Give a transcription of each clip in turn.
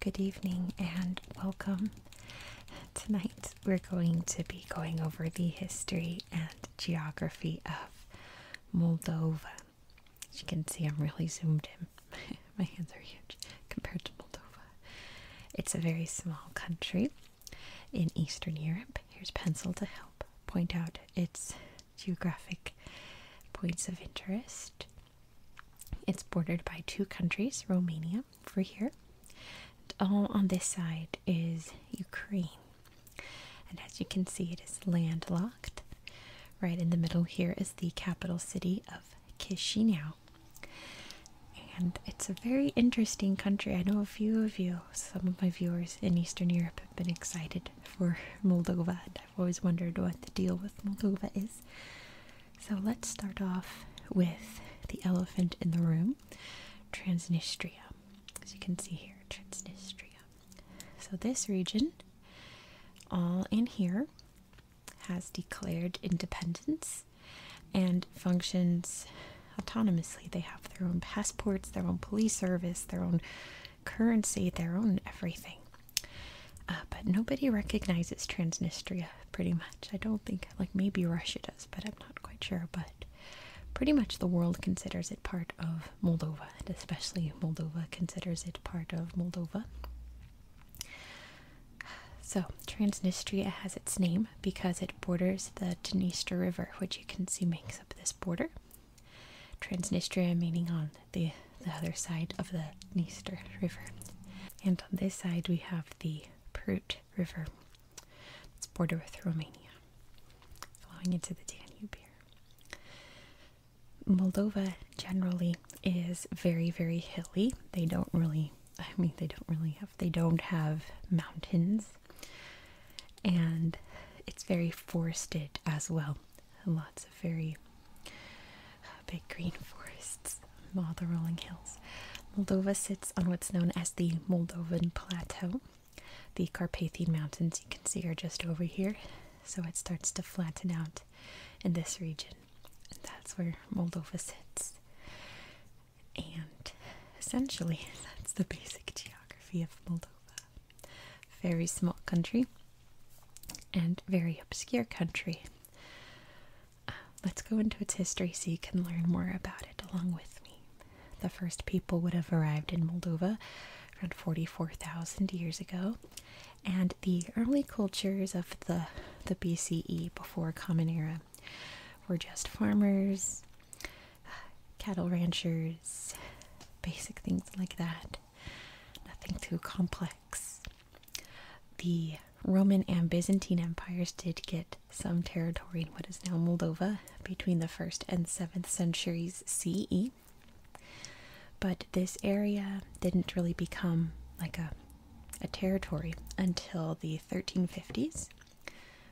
Good evening and welcome. Tonight we're going to be going over the history and geography of Moldova. As you can see, I'm really zoomed in. My hands are huge compared to Moldova. It's a very small country in Eastern Europe. Here's pencil to help point out its geographic points of interest. It's bordered by two countries, Romania over here, and all on this side is Ukraine. And as you can see, it is landlocked. Right in the middle here is the capital city of Kishinev and it's a very interesting country. I know a few of you, some of my viewers in Eastern Europe, have been excited for Moldova, and I've always wondered what the deal with Moldova is. So let's start off with the elephant in the room, Transnistria. As you can see here, Transnistria. So this region, all in here, has declared independence and functions autonomously. They have their own passports, their own police service, their own currency, their own everything. Uh, but nobody recognizes Transnistria pretty much. I don't think, like maybe Russia does, but I'm not quite sure. But pretty much the world considers it part of Moldova, and especially Moldova considers it part of Moldova. So, Transnistria has its name because it borders the Dniester River, which you can see makes up this border. Transnistria meaning on the, the other side of the Dniester River. And on this side we have the Prut River. It's border with Romania, flowing into the Danube here. Moldova generally is very, very hilly. They don't really I mean, they don't really have, they don't have mountains. And it's very forested as well. Lots of very uh, big green forests, all the rolling hills. Moldova sits on what's known as the Moldovan Plateau. The Carpathian Mountains, you can see, are just over here. So it starts to flatten out in this region. And that's where Moldova sits. And essentially, that's the basic geography of Moldova. Very small country and very obscure country. Uh, let's go into its history so you can learn more about it along with me. The first people would have arrived in Moldova around 44,000 years ago, and the early cultures of the, the BCE before Common Era we're just farmers, cattle ranchers, basic things like that. Nothing too complex. The Roman and Byzantine empires did get some territory in what is now Moldova between the 1st and 7th centuries CE. But this area didn't really become like a a territory until the 1350s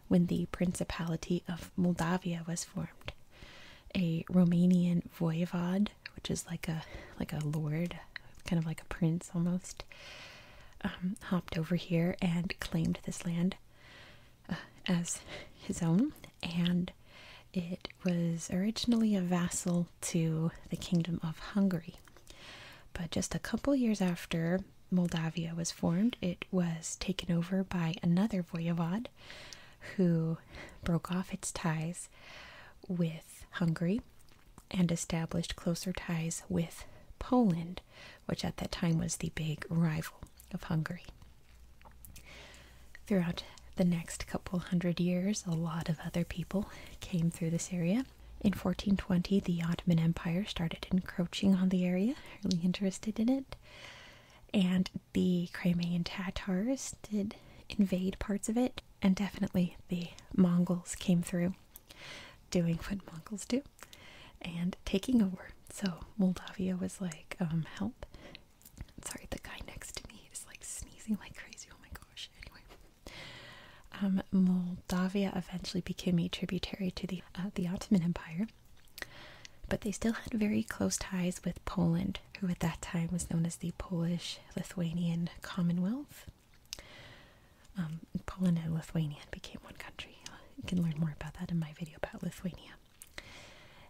when the Principality of Moldavia was formed. A Romanian voivod, which is like a like a lord, kind of like a prince almost, um, hopped over here and claimed this land uh, as his own, and it was originally a vassal to the Kingdom of Hungary. But just a couple years after Moldavia was formed, it was taken over by another voivod who broke off its ties with Hungary and established closer ties with Poland, which at that time was the big rival of Hungary. Throughout the next couple hundred years, a lot of other people came through this area, in 1420, the Ottoman Empire started encroaching on the area, really interested in it, and the Crimean Tatars did invade parts of it, and definitely the Mongols came through doing what Mongols do and taking over. So Moldavia was like, um, help. Sorry, the guy next to me is like sneezing like crazy. Oh my gosh. Anyway, um, Moldavia eventually became a tributary to the uh, the Ottoman Empire, but they still had very close ties with Poland, who at that time was known as the Polish-Lithuanian Commonwealth. Um, Poland and Lithuania became one country. You can learn more about that in my video about Lithuania.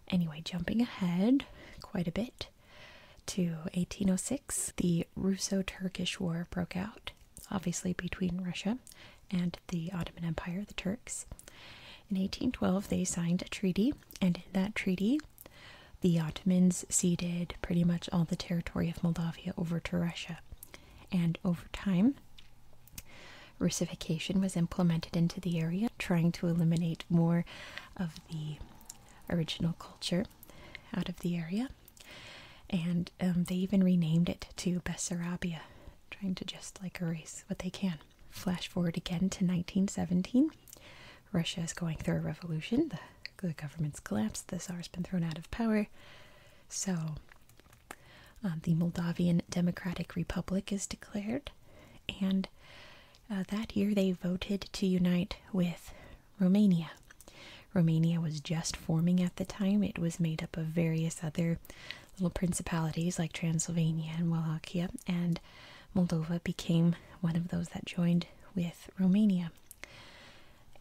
Anyway, jumping ahead quite a bit to 1806, the Russo Turkish War broke out, obviously between Russia and the Ottoman Empire, the Turks. In 1812, they signed a treaty, and in that treaty, the Ottomans ceded pretty much all the territory of Moldavia over to Russia. And over time, Russification was implemented into the area, trying to eliminate more of the original culture out of the area. And um, they even renamed it to Bessarabia, trying to just like erase what they can. Flash forward again to 1917. Russia is going through a revolution. The, government's collapsed. The Tsar's been thrown out of power. So um, the Moldavian Democratic Republic is declared. And uh, that year they voted to unite with Romania. Romania was just forming at the time. It was made up of various other little principalities like Transylvania and Wallachia, and Moldova became one of those that joined with Romania.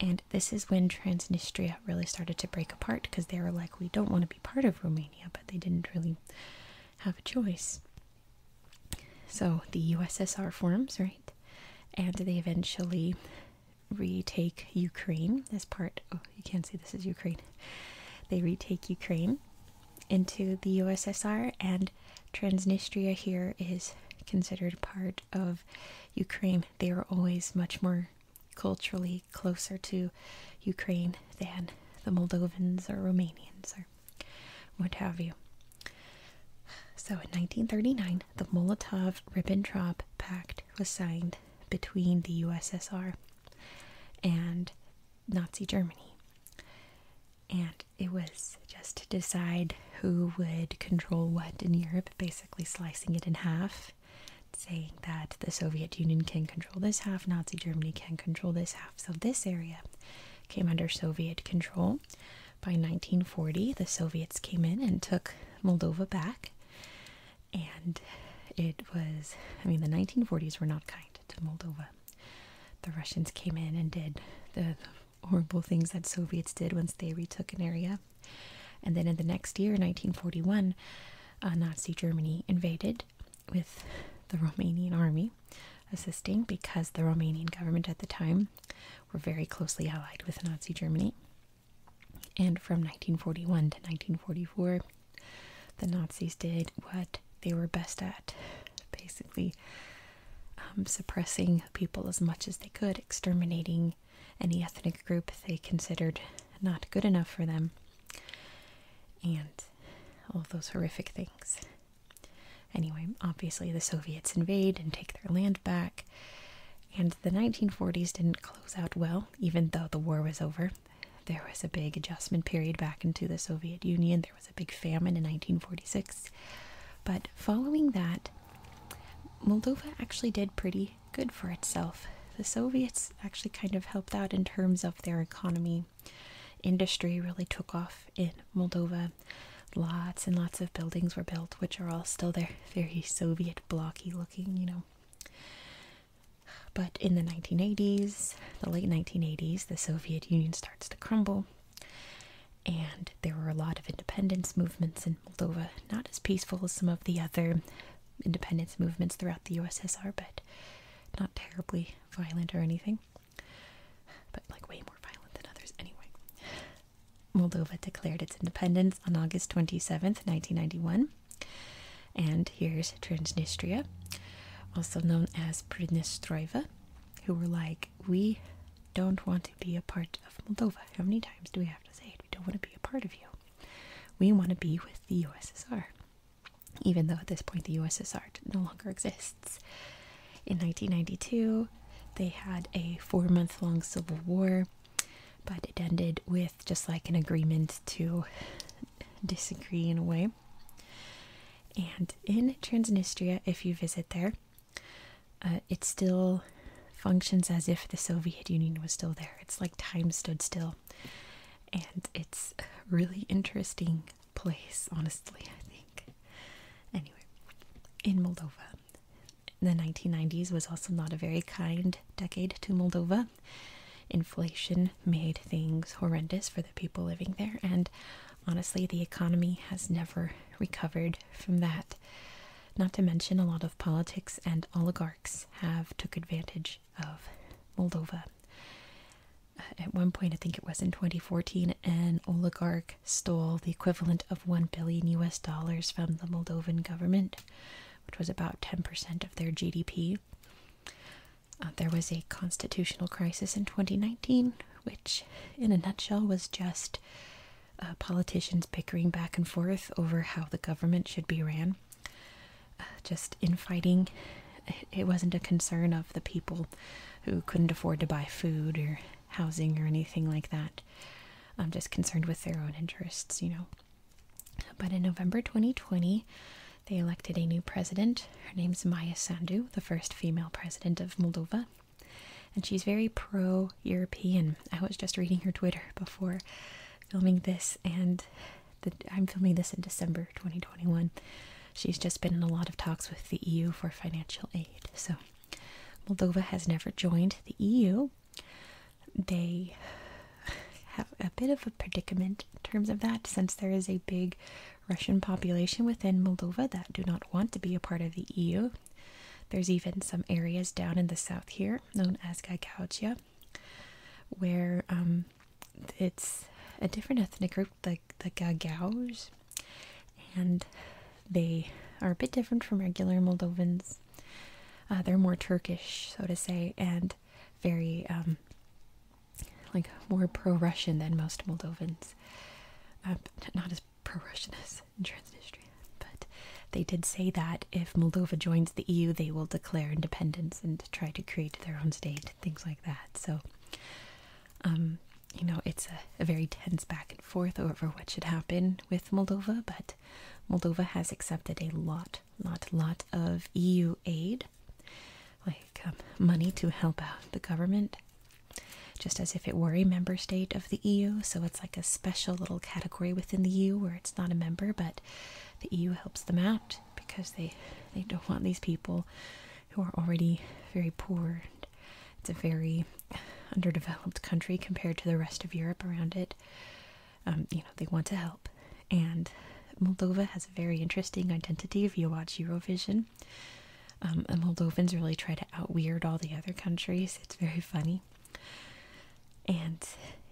And this is when Transnistria really started to break apart because they were like, we don't want to be part of Romania, but they didn't really have a choice. So the USSR forms, right? And they eventually retake Ukraine as part. Oh, you can't see this is Ukraine. They retake Ukraine into the USSR, and Transnistria here is considered part of Ukraine. They are always much more culturally closer to Ukraine than the Moldovans or Romanians what have you. So in 1939, the Molotov-Ribbentrop Pact was signed between the USSR and Nazi Germany. And it was just to decide who would control what in Europe, basically slicing it in half, saying that the Soviet Union can control this half, Nazi Germany can control this half. So this area came under Soviet control. By 1940, the Soviets came in and took Moldova back. And it was, I mean, the 1940s were not kind to Moldova. The Russians came in and did the horrible things that Soviets did once they retook an area. And then in the next year, 1941, uh, Nazi Germany invaded with the Romanian army assisting because the Romanian government at the time were very closely allied with Nazi Germany. And from 1941 to 1944, the Nazis did what they were best at basically um, suppressing people as much as they could, exterminating any ethnic group they considered not good enough for them, and all those horrific things. Anyway, obviously the Soviets invade and take their land back, and the 1940s didn't close out well, even though the war was over. There was a big adjustment period back into the Soviet Union, there was a big famine in 1946. But following that, Moldova actually did pretty good for itself. The Soviets actually kind of helped out in terms of their economy industry really took off in Moldova. Lots and lots of buildings were built, which are all still there, very Soviet blocky looking, you know. But in the 1980s, the late 1980s, the Soviet Union starts to crumble, and there were a lot of independence movements in Moldova, not as peaceful as some of the other independence movements throughout the USSR, but not terribly violent or anything but like way more violent than others anyway. Moldova declared its independence on August 27th, 1991. And here's Transnistria, also known as Pridnestroiva, who were like, We don't want to be a part of Moldova. How many times do we have to say it? We don't want to be a part of you. We want to be with the USSR even though at this point the USSR no longer exists. In 1992, they had a four month long civil war, but it ended with just like an agreement to disagree in a way. And in Transnistria, if you visit there, uh, it still functions as if the Soviet Union was still there. It's like time stood still. And it's really interesting place, honestly, I think. Anyway, in Moldova, the 1990s was also not a very kind decade to Moldova. Inflation made things horrendous for the people living there, and honestly, the economy has never recovered from that. Not to mention, a lot of politics and oligarchs have took advantage of Moldova at one point, I think it was in 2014, an oligarch stole the equivalent of 1 billion US dollars from the Moldovan government, which was about 10% of their GDP. Uh, there was a constitutional crisis in 2019, which, in a nutshell, was just uh, politicians bickering back and forth over how the government should be ran. Uh, just infighting. It wasn't a concern of the people who couldn't afford to buy food or housing or anything like that. I'm just concerned with their own interests, you know. But in November 2020, they elected a new president. Her name's Maya Sandu, the first female president of Moldova. And she's very pro European. I was just reading her Twitter before filming this, and I'm filming this in December 2021. She's just been in a lot of talks with the EU for financial aid. So Moldova has never joined the EU. They have a bit of a predicament in terms of that since there is a big Russian population within Moldova that do not want to be a part of the EU. There's even some areas down in the south here known as Gagautia where um, it's a different ethnic group, the the Gagauz, and they are a bit different from regular Moldovans. Uh, they're more Turkish, so to say, and very um, like more pro-Russian than most Moldovans. Uh, not as pro-Russian as in Transnistria, but they did say that if Moldova joins the EU, they will declare independence in try to create their own state, things like that. So, um, you know, it's a, very tense back and forth over what should happen with Moldova, but Moldova has accepted a lot, lot, lot of EU aid, like um, money to help out the government, just as if it were a member state of the EU. So it's like a special little category within the EU where it's not a member, but the EU helps them out because they they don't want these people who are already very poor. It's a very underdeveloped country compared to the rest of Europe around it. Um, you know, they want to help. And Moldova has a very interesting identity if you watch Eurovision. Um, Moldovans really try to outweird all the other countries. It's very funny. And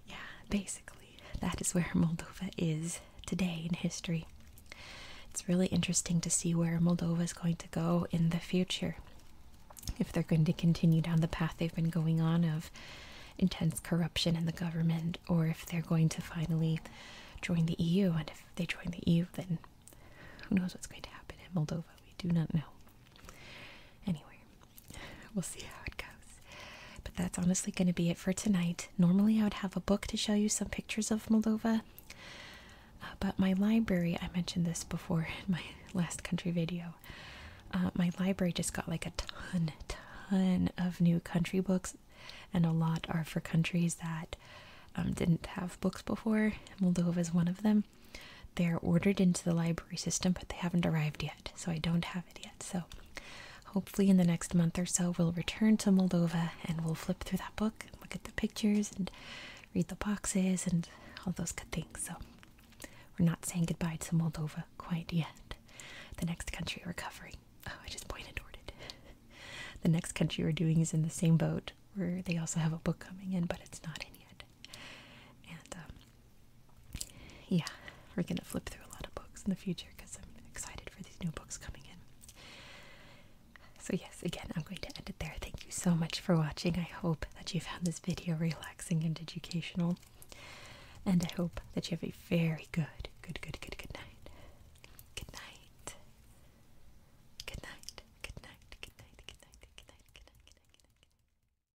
yeah, basically, that is where Moldova is today in history. It's really interesting to see where Moldova is going to go in the future. If they're going to continue down the path they've been going on of intense corruption in the government, or if they're going to finally join the EU, and if they join the EU, then who knows what's going to happen in Moldova? We do not know. Anyway, we'll see how it goes. But that's honestly going to be it for tonight. Normally, I would have a book to show you some pictures of Moldova, uh, but my library, I mentioned this before in my last country video, uh, my library just got like a ton, ton of new country books, and a lot are for countries that um, didn't have books before. Moldova is one of them. They're ordered into the library system, but they haven't arrived yet so I don't have it yet. So hopefully, in the next month or so, we'll return to Moldova and we'll flip through that book look at the pictures and read the boxes and all those good things. So we're not saying goodbye to Moldova quite yet. The next country we're covering. Oh, I just pointed toward it. the next country we're doing is in the same boat where they also have a book coming in, but it's not in yet. And um, yeah, we're gonna flip through a lot of books in the future because I'm excited for these new books coming in. So, yes, again, I'm going to end it there. Thank you so much for watching. I hope that you found this video relaxing and educational. And I hope that you have a very good, good, good, good, good night. Good night. Good night. Good night. Good night. Good night. Good night. Good night. Good night.